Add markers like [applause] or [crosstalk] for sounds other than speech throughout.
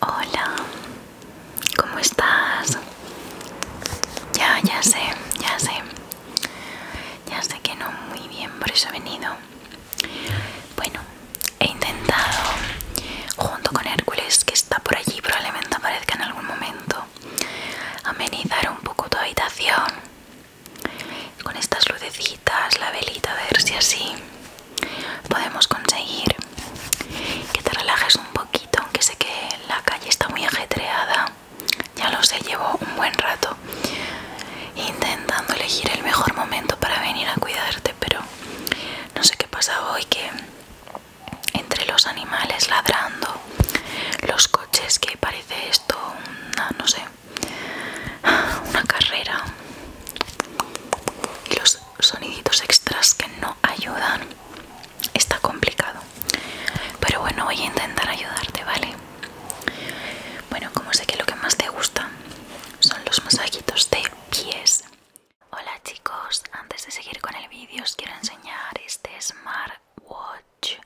Hola, ¿cómo estás? Ya, ya sé, ya sé. Ya sé que no muy bien, por eso he venido. Bueno, he intentado, junto con Hércules, que está por allí, probablemente aparezca en algún momento, amenizar un poco tu habitación con estas lucecitas, la velita, a ver si así podemos conseguir que te relajes un poquito, aunque sé que la calle está muy ajetreada. Ya lo sé, llevo un buen rato intentando elegir el mejor momento para venir a cuidarte, pero no sé qué pasa hoy que entre los animales ladrando, los coches que parece esto, no sé, una carrera y los soniditos extras que no ayudan está complicado pero bueno voy a intentar ayudarte vale bueno como sé que lo que más te gusta son los masajitos de pies hola chicos antes de seguir con el vídeo os quiero enseñar este smartwatch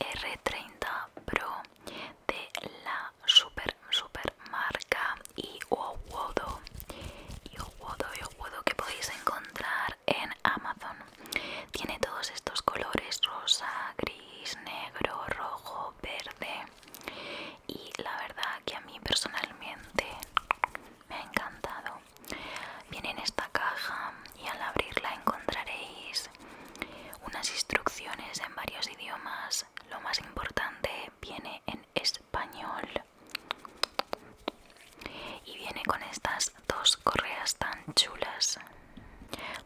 r30 pro de la super super marca Iowodo Iowodo, que podéis encontrar en Amazon tiene todos estos colores rosa, gris, negro, rojo, verde y la verdad que a mí personalmente me ha encantado viene en esta caja y al abrirla encontraréis unas instrucciones en varios idiomas lo más importante viene en español y viene con estas dos correas tan chulas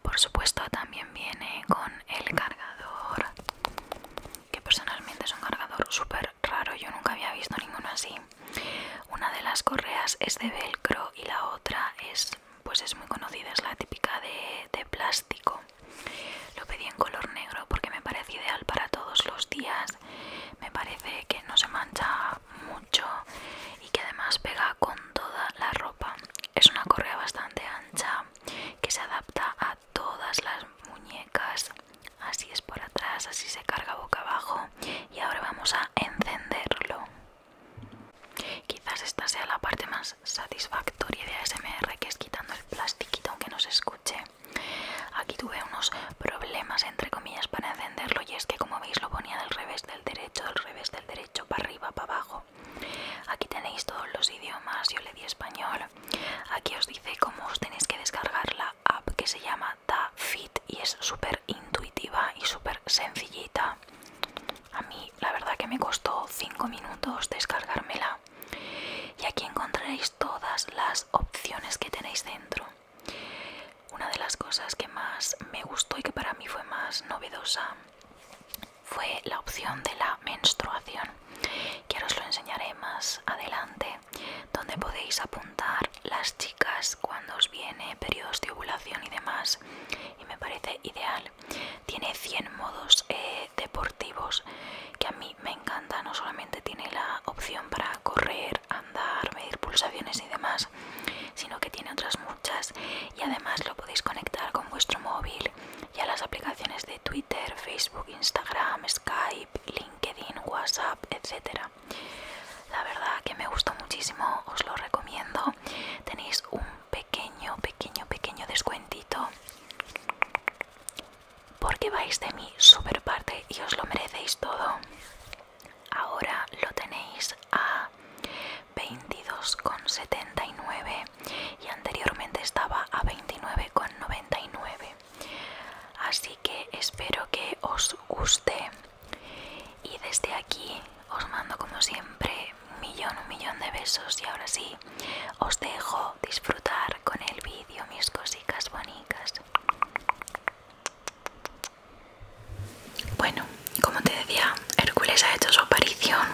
por supuesto también viene con el cargador que personalmente es un cargador súper raro yo nunca había visto ninguno así una de las correas es de velcro y la otra es pues es muy conocida es la típica de plástico lo pedí en color negro porque me parece ideal para todos los días. Me parece que no se mancha mucho y que además pega con toda la ropa. Es una correa bastante ancha que se adapta a todas las muñecas. Así es por atrás, así se carga boca abajo. Y ahora vamos a encenderlo. Quizás esta sea la parte más satisfactoria de ASMR, que es quitando el plastiquito aunque no se escuche. Aquí tuve unos problemas, entre comillas, para encenderlo y es que como veis lo ponía del revés del derecho, del revés del derecho, para arriba, para abajo. Aquí tenéis todos los idiomas, yo le di español. Aquí os dice cómo os tenéis que descargar la app que se llama DaFit y es súper intuitiva y súper sencillita. A mí la verdad que me costó 5 minutos descargármela y aquí encontraréis todas las opciones que tenéis dentro. Una de las cosas que más me gustó y que para mí fue más novedosa fue la opción de la menstruación, que os lo enseñaré más adelante, donde podéis apuntar las chicas cuando os viene periodos de ovulación y demás, y me parece ideal. Tiene 100 modos eh, deportivos que a mí me encanta. No solamente tiene la opción para correr, andar, medir pulsaciones y demás, sino que tiene otras muchas y además lo podéis conectar con vuestro móvil y a las aplicaciones de Twitter, Facebook, Instagram, Skype, LinkedIn, WhatsApp, etcétera. La verdad que me gustó muchísimo, os lo recomiendo. Tenéis un pequeño, pequeño, pequeño descuentito. Porque vais de mi super parte y os lo merecéis todo. Ahora lo tenéis a 22,79 y anteriormente estaba a 29,99. Así que espero que os guste y desde aquí os mando como siempre un millón, un millón de besos y ahora sí, os dejo disfrutar con el vídeo, mis cositas bonitas. Bueno, como te decía, Hércules ha hecho su aparición.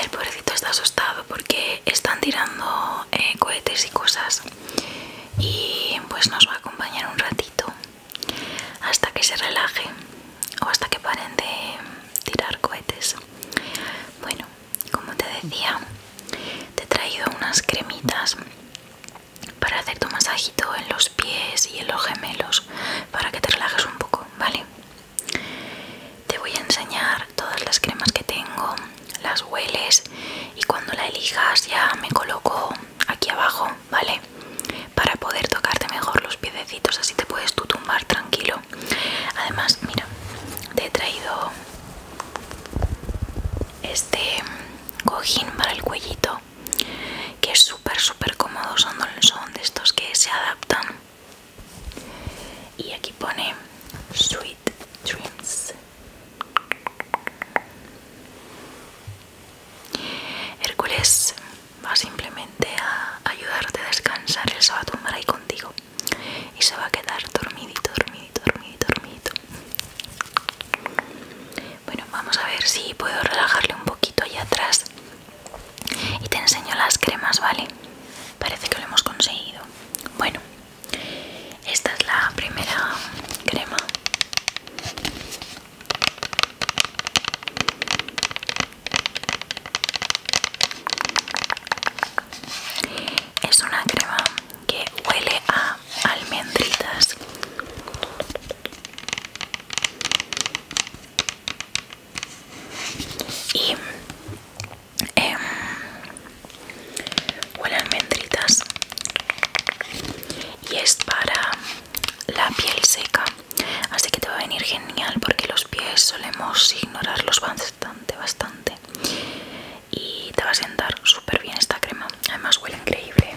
El pobrecito está asustado porque están tirando eh, cohetes y cosas. Y pues nos va a acompañar un ratito hasta que se relaje o hasta que paren de tirar cohetes. Bueno, como te decía, te he traído unas cremitas para hacer tu masajito en los pies y en los gemelos para que te relajes un poco, ¿vale? Te voy a enseñar todas las cremas que tengo, las hueles y cuando la elijas ya me coloco aquí abajo, ¿vale? Para poder tocarte mejor los piedecitos, así te puedes tú tumbar tranquilo Además, mira, te he traído este cojín para el cuellito que es súper súper cómodo son de estos que se adaptan y aquí pone sweet dreams hércules va simplemente a ayudarte a descansar, él se va a tomar ahí contigo y se va a quedar dormidito, dormidito, dormidito, Bueno, vamos a ver si puedo relajarle un poquito allá atrás y te enseño las cremas, ¿vale? Parece que lo hemos conseguido. Bueno, esta es la primera crema. Es una crema que huele a almendritas. Y em, huele a almendritas. Y es para la piel seca así que te va a venir genial porque los pies solemos ignorarlos bastante bastante y te va a sentar súper bien esta crema además huele increíble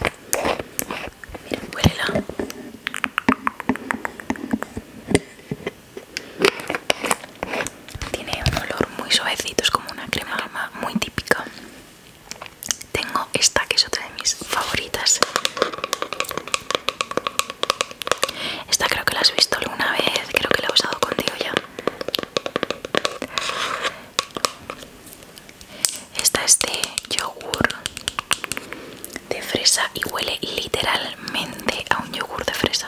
mira huélela tiene un olor muy suavecito es como una crema, crema muy típica tengo esta que es otra de mis favoritas esta creo que la has visto alguna vez, creo que la he usado contigo ya. Esta es de yogur de fresa y huele literalmente a un yogur de fresa.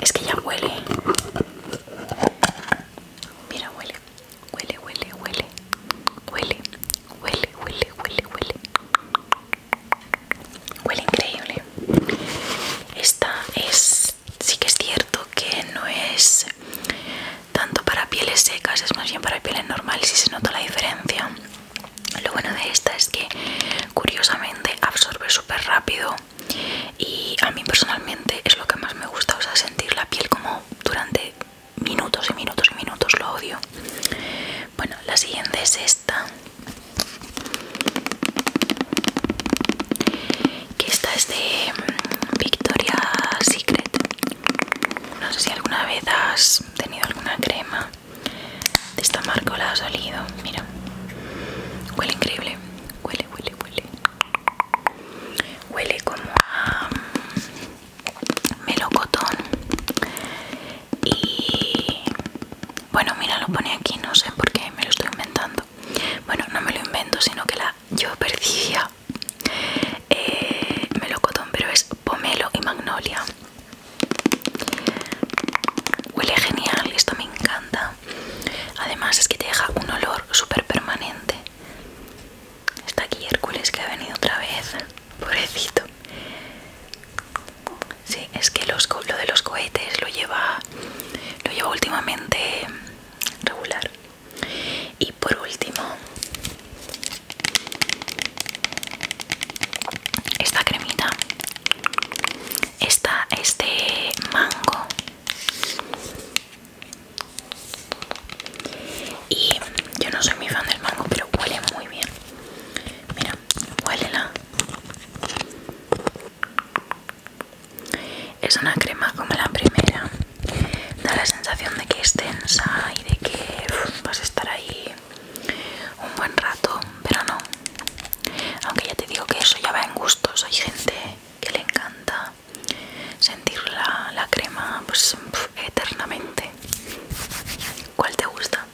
Es que ya huele. Mira, huele. Huele, huele, huele. Huele, huele, huele, huele, huele. Huele increíble. Esta es... Sí que es cierto que no es tanto para pieles secas, es más bien para pieles normales y se nota la diferencia. Lo bueno de esta es que curiosamente absorbe súper rápido y a mí personalmente es lo que más me gusta, o sea, sentir la piel como durante minutos y minutos y minutos, lo odio. Bueno, la siguiente es esta. Que esta es de mm, Victoria Secret. No sé si alguna vez has tenido alguna crema de esta marca la ha salido mira huele increíble huele huele huele huele como a mm, melocotón y bueno mira lo pone aquí no sé por qué me lo estoy inventando bueno no me lo invento sino que la yo percibía eh, melocotón pero es pomelo y magnolia Huele genial, esto me encanta. Además es que te deja un olor súper permanente. Está aquí Hércules que ha venido otra vez. Pobrecito. Sí, es que lo de los cohetes lo lleva, lo lleva últimamente regular. Y por último, esta cremita está este mango y yo no soy mi fan del mango pero huele muy bien mira huélela es una crema como la primera da la sensación de que es tensa y de que vas a estar ahí un buen rato pero no aunque ya te digo que eso ya va en gustos, hay gente que le encanta sentir la, crema pues, eternamente. ¿Cuál te gusta?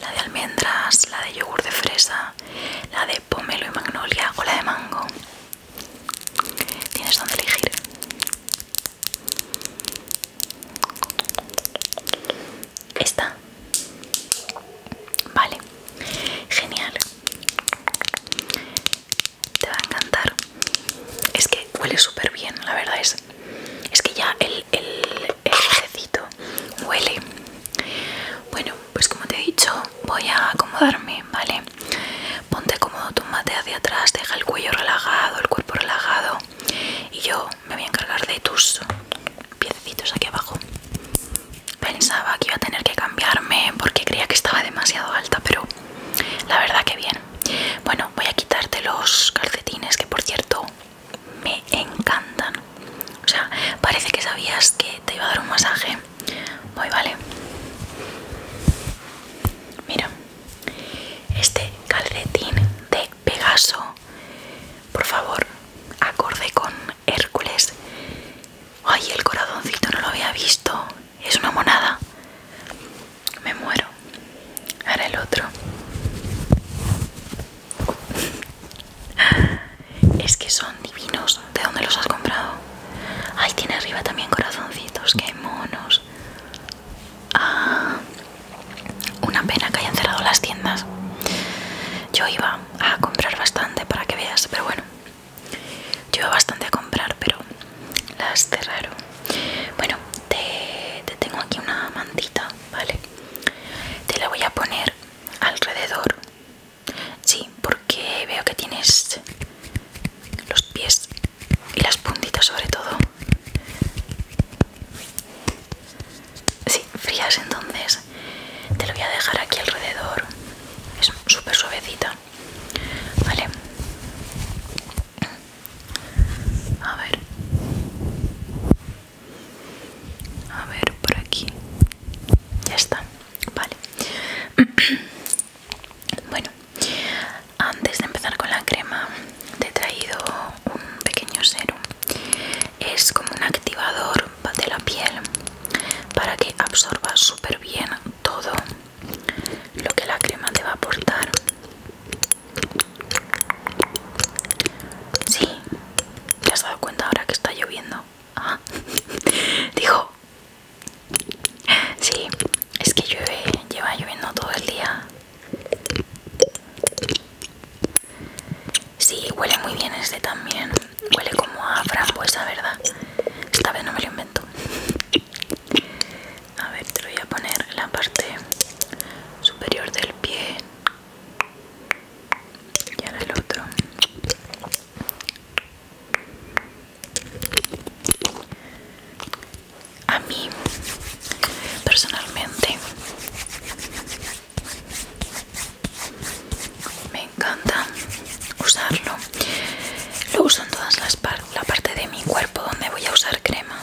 La de almendras, la de yogur de fresa, la de pomelo y magnolia o la de mango. Tienes donde elegir. Esta. Vale. Genial. Te va a encantar. Es que huele súper bien, la verdad es. Es que ya el, el, huele. Bueno, pues como te he dicho, voy a acomodarme, ¿vale? Ponte cómodo, mate hacia atrás, deja el cuello relajado, el cuerpo relajado. Y yo me voy a encargar de tus piecitos aquí abajo pensaba que iba a tener que cambiarme porque creía que estaba demasiado alta pero la verdad que bien bueno voy a quitarte los calcetines que por cierto me encantan o sea parece que sabías que te iba a dar un masaje Muy vale mira este calcetín de Pegaso, por favor, acorde con Hércules. Ay, el corazoncito no lo había visto. Es una monada. Me muero. Ahora el otro. Es que son divinos. ¿De dónde los has comprado? Ay, tiene arriba también corazoncitos. ¡Qué monos! Ah, una pena que hayan cerrado las tiendas. Yo iba a comprar bastante para que veas, pero bueno, yo iba bastante a comprar, pero las cerraron. Bueno, te, tengo aquí una mantita, ¿vale? Te la voy a poner alrededor. Sí, porque veo que tienes los pies y las puntitas sobre todo sí, frías entonces te lo voy a dejar aquí alrededor es súper suavecita vale a ver a ver por aquí ya está vale [clears throat] bueno antes de empezar con la crema te he traído un pequeño serum es como un activador de la piel para que absorba súper bien todo lo que la crema te va a aportar si te has dado cuenta ahora que está lloviendo ah, [laughs] dijo si es que llueve lleva lloviendo todo el día Sí, huele muy bien este también. Huele como a frambuesa, ¿verdad? Esta vez no me lo invento. A ver, te voy a poner la parte superior del pie. Y ahora el otro. A mí, personalmente, me encanta usarlo lo uso en todas las partes la parte de mi cuerpo donde voy a usar crema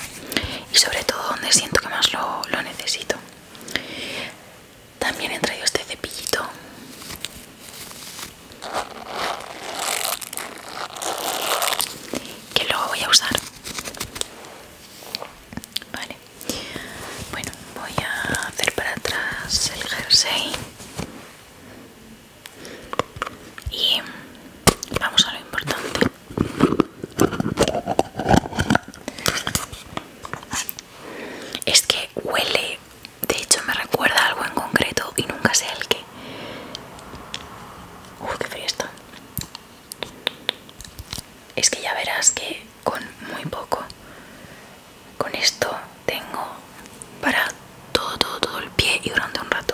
y sobre todo donde siento que más lo, lo necesito también he traído este cepillito que luego voy a usar vale bueno voy a hacer para atrás el jersey y vamos a lo importante es que huele de hecho me recuerda algo en concreto y nunca sé el qué Uf, qué frío está es que ya verás que con muy poco, con esto tengo para todo, todo, todo el pie y durante un rato.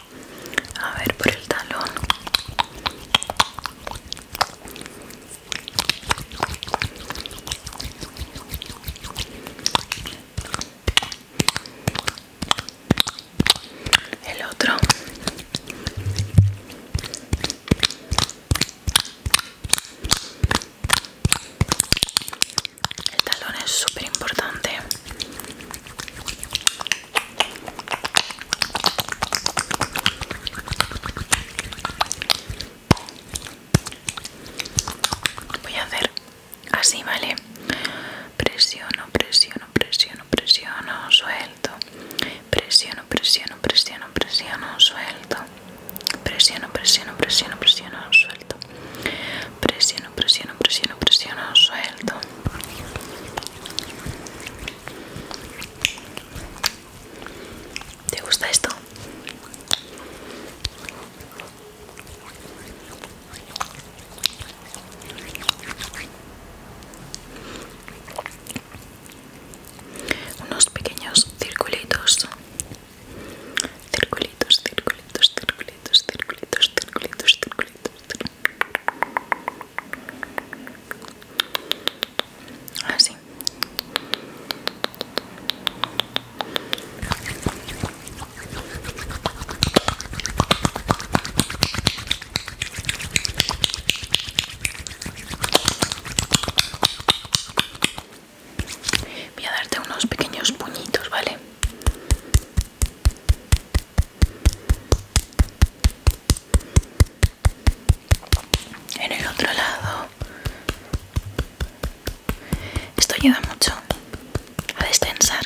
A ver por el talón. El otro. El talón es súper importante. Voy a hacer así, ¿vale? Presiono, presiono, presiono, presiono, suelto. Presiono, presiono, presiono, presiono, suelto. Presiono, presiono, presiono, presiono, suelto. Presiono, presiono, presiono, presiono, suelto. ¿Te gusta esto? Unos pequeños circulitos. Circulitos, circulitos, circulitos, circulitos, circulitos, circulitos, así Voy a darte unos pequeños puñitos, ¿vale? En el otro lado. Esto ayuda mucho a destensar.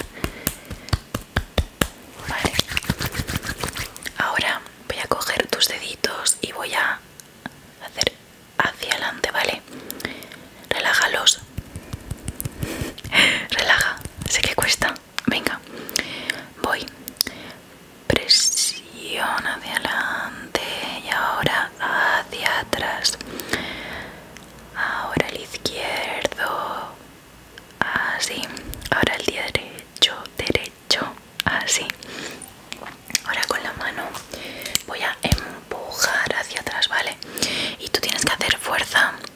Vale. Ahora voy a coger tus deditos y voy a hacer hacia adelante, ¿vale? Relájalos. Relaja. Sé que cuesta. Venga. Voy. Presiona hacia adelante y ahora hacia atrás. Ahora el izquierdo. Así. Ahora el derecho. Derecho. Así. Ahora con la mano voy a empujar hacia atrás, ¿vale? Y tú tienes que hacer fuerza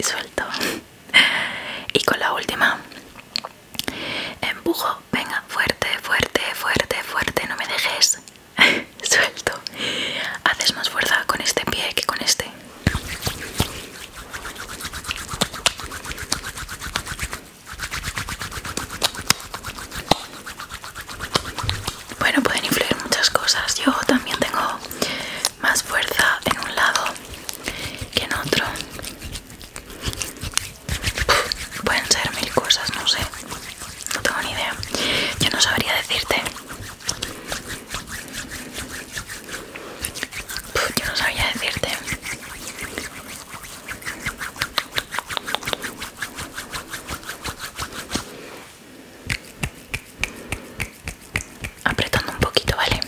suelto y con la última empujo venga fuerte fuerte fuerte fuerte no me dejes [laughs] suelto haces más fuerza con este pie que con este bueno pueden influir muchas cosas yo también tengo más fuerza en un lado que en otro. Pueden ser mil cosas, no sé. No tengo ni idea. Yo no sabría decirte. Yo no sabría decirte apretando un poquito, ¿vale?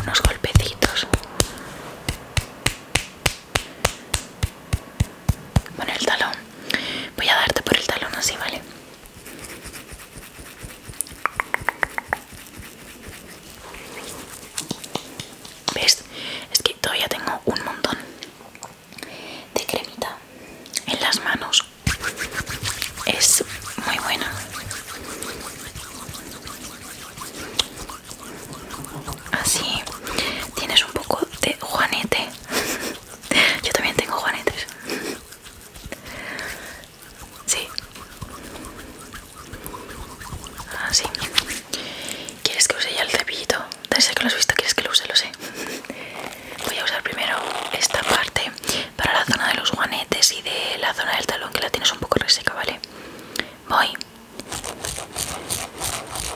Unos golpecitos. con el talón. Voy a darte por el talón así, ¿vale? ¿Ves? Es que todavía tengo un montón de cremita en las manos es muy buena así tienes un poco de juanete [laughs] yo también tengo juanetes sí así ¿Quieres que use ya el cepillito? Desde que lo has visto, ¿quieres que lo use? Lo sé. [laughs] Voy a usar primero esta parte para la zona de los guanetes y de la zona del talón que la tienes un poco reseca, ¿vale? Voy.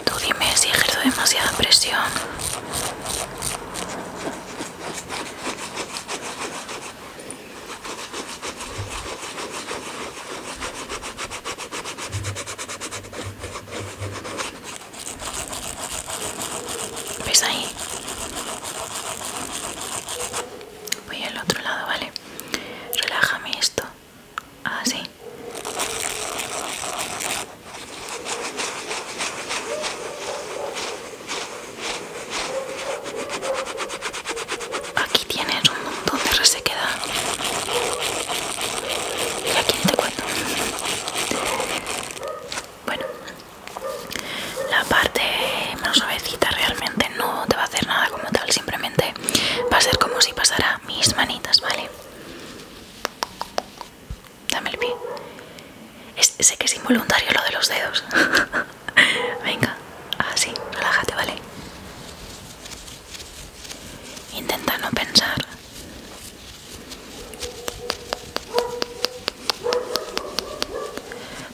Tú dime si ejerzo demasiada presión. ¿Ves ahí? Voy al otro lado, ¿vale? Relájame esto. Así. Ah, Aquí tienes un montón de resequedad. Y aquí te cuento? Bueno, la parte más suavecita realmente no te va a hacer nada como tal, simplemente va a ser como si pasara mis manitas, ¿vale? Dame el pie. sé que es involuntario lo de los dedos. [laughs] Venga, así, relájate, ¿vale? Intenta no pensar.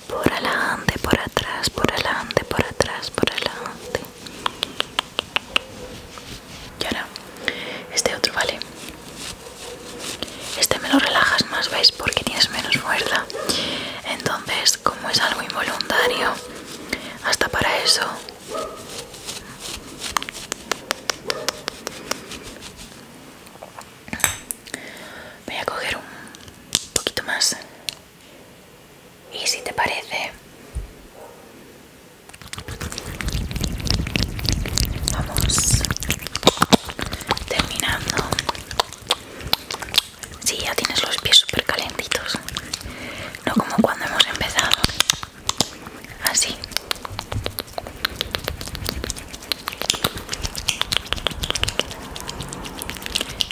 Por adelante, por atrás, por adelante, por atrás, por adelante. Y ahora, este otro, ¿vale? Este me lo relajas más, ¿veis? Porque tienes menos fuerza. Entonces, como es algo involuntario, hasta para eso Voy a coger un poquito más. Y si te parece, vamos terminando. Sí, ya tienes los pies super calentitos. No como cuando hemos empezado así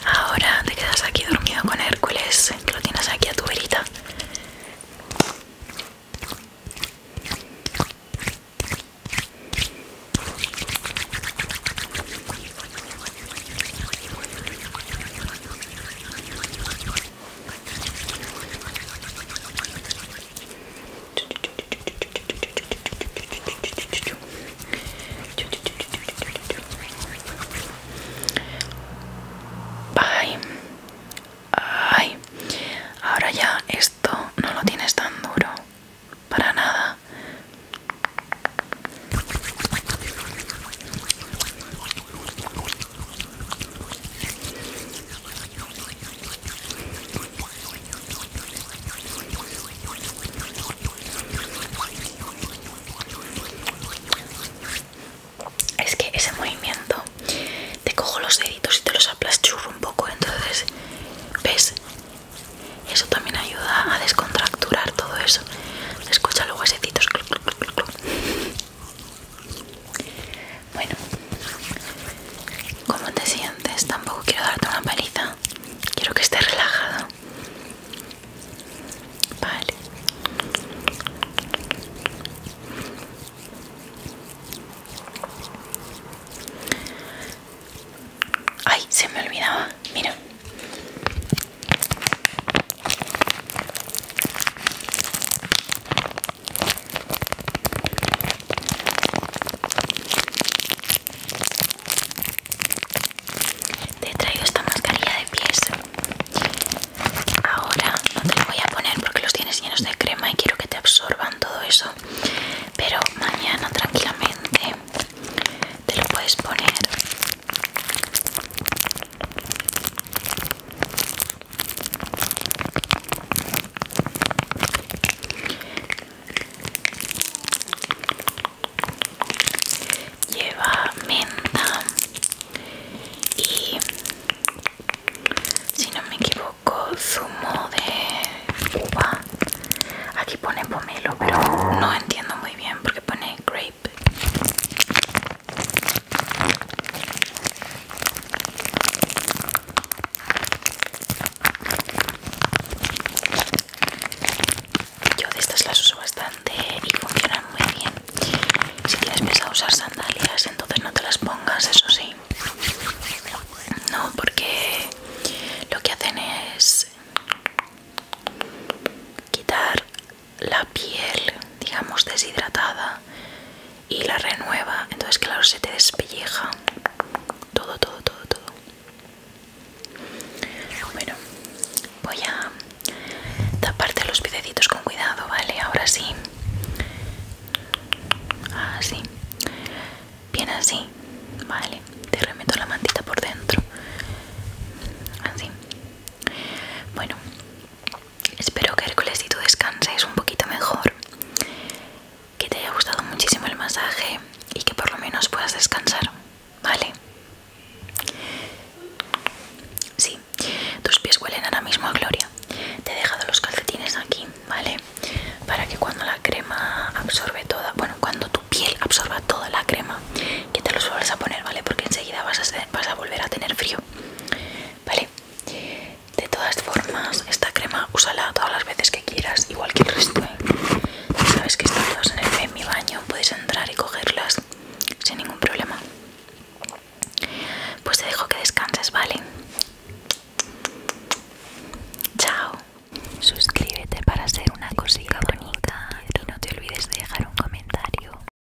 ahora te quedas aquí dormido con Hércules que lo tienes aquí a tu verita Ay, ay, ahora ya esto no lo tienes tan duro, para nada. Es que ese movimiento te cojo los deditos y te los aplasturo un poco, entonces ves, eso también ayuda a descontracturar todo eso. escucha luego ese bueno, ¿cómo te sientes? Tampoco quiero darte una paliza. Quiero que estés relajado. Vale. Ay, se me olvidaba. Mira. Te he traído esta mascarilla de pies. Ahora no te la voy a poner porque los tienes llenos de crema y quiero que te absorban todo eso. Pero mañana tranquilamente te lo puedes poner Lleva menta y, si no me equivoco, zumo de uva. Aquí pone pomelo, pero no entiendo muy bien porque pone grape yo de estas las uso bastante y funcionan muy bien. Si tienes a usar sandalias, entonces no te las pongas, eso sí. No, porque lo que hacen es quitar la piel, digamos, deshidratada y la renueva. Entonces, claro, se te despelleja todo, todo, todo, todo. Bueno, voy a taparte los piecitos con cuidado, ¿vale? Ahora sí. Así. Ah, Bien así. Vale. Te remeto la mantita por dentro. Así. Bueno, Espero que Hércules y tú descanses un poquito mejor, que te haya gustado muchísimo el masaje y que por lo menos puedas descansar, ¿vale? Sí, tus pies huelen ahora mismo a gloria. Te he dejado los calcetines aquí, ¿vale? Para que cuando la crema absorbe toda, bueno, cuando tu piel absorba toda la crema, que te los vuelvas a poner, ¿vale? Porque enseguida vas a, vas a volver a tener frío. ¿Vale? De todas formas, esta crema úsala todas las veces que quieras, igual que el resto. ¿eh? Sabes que están todas en, el, mi baño, puedes entrar y cogerlas sin ningún problema. Pues te dejo que descanses, ¿vale? Chao. Suscríbete para ser una cosita bonita y no te olvides de dejar un comentario.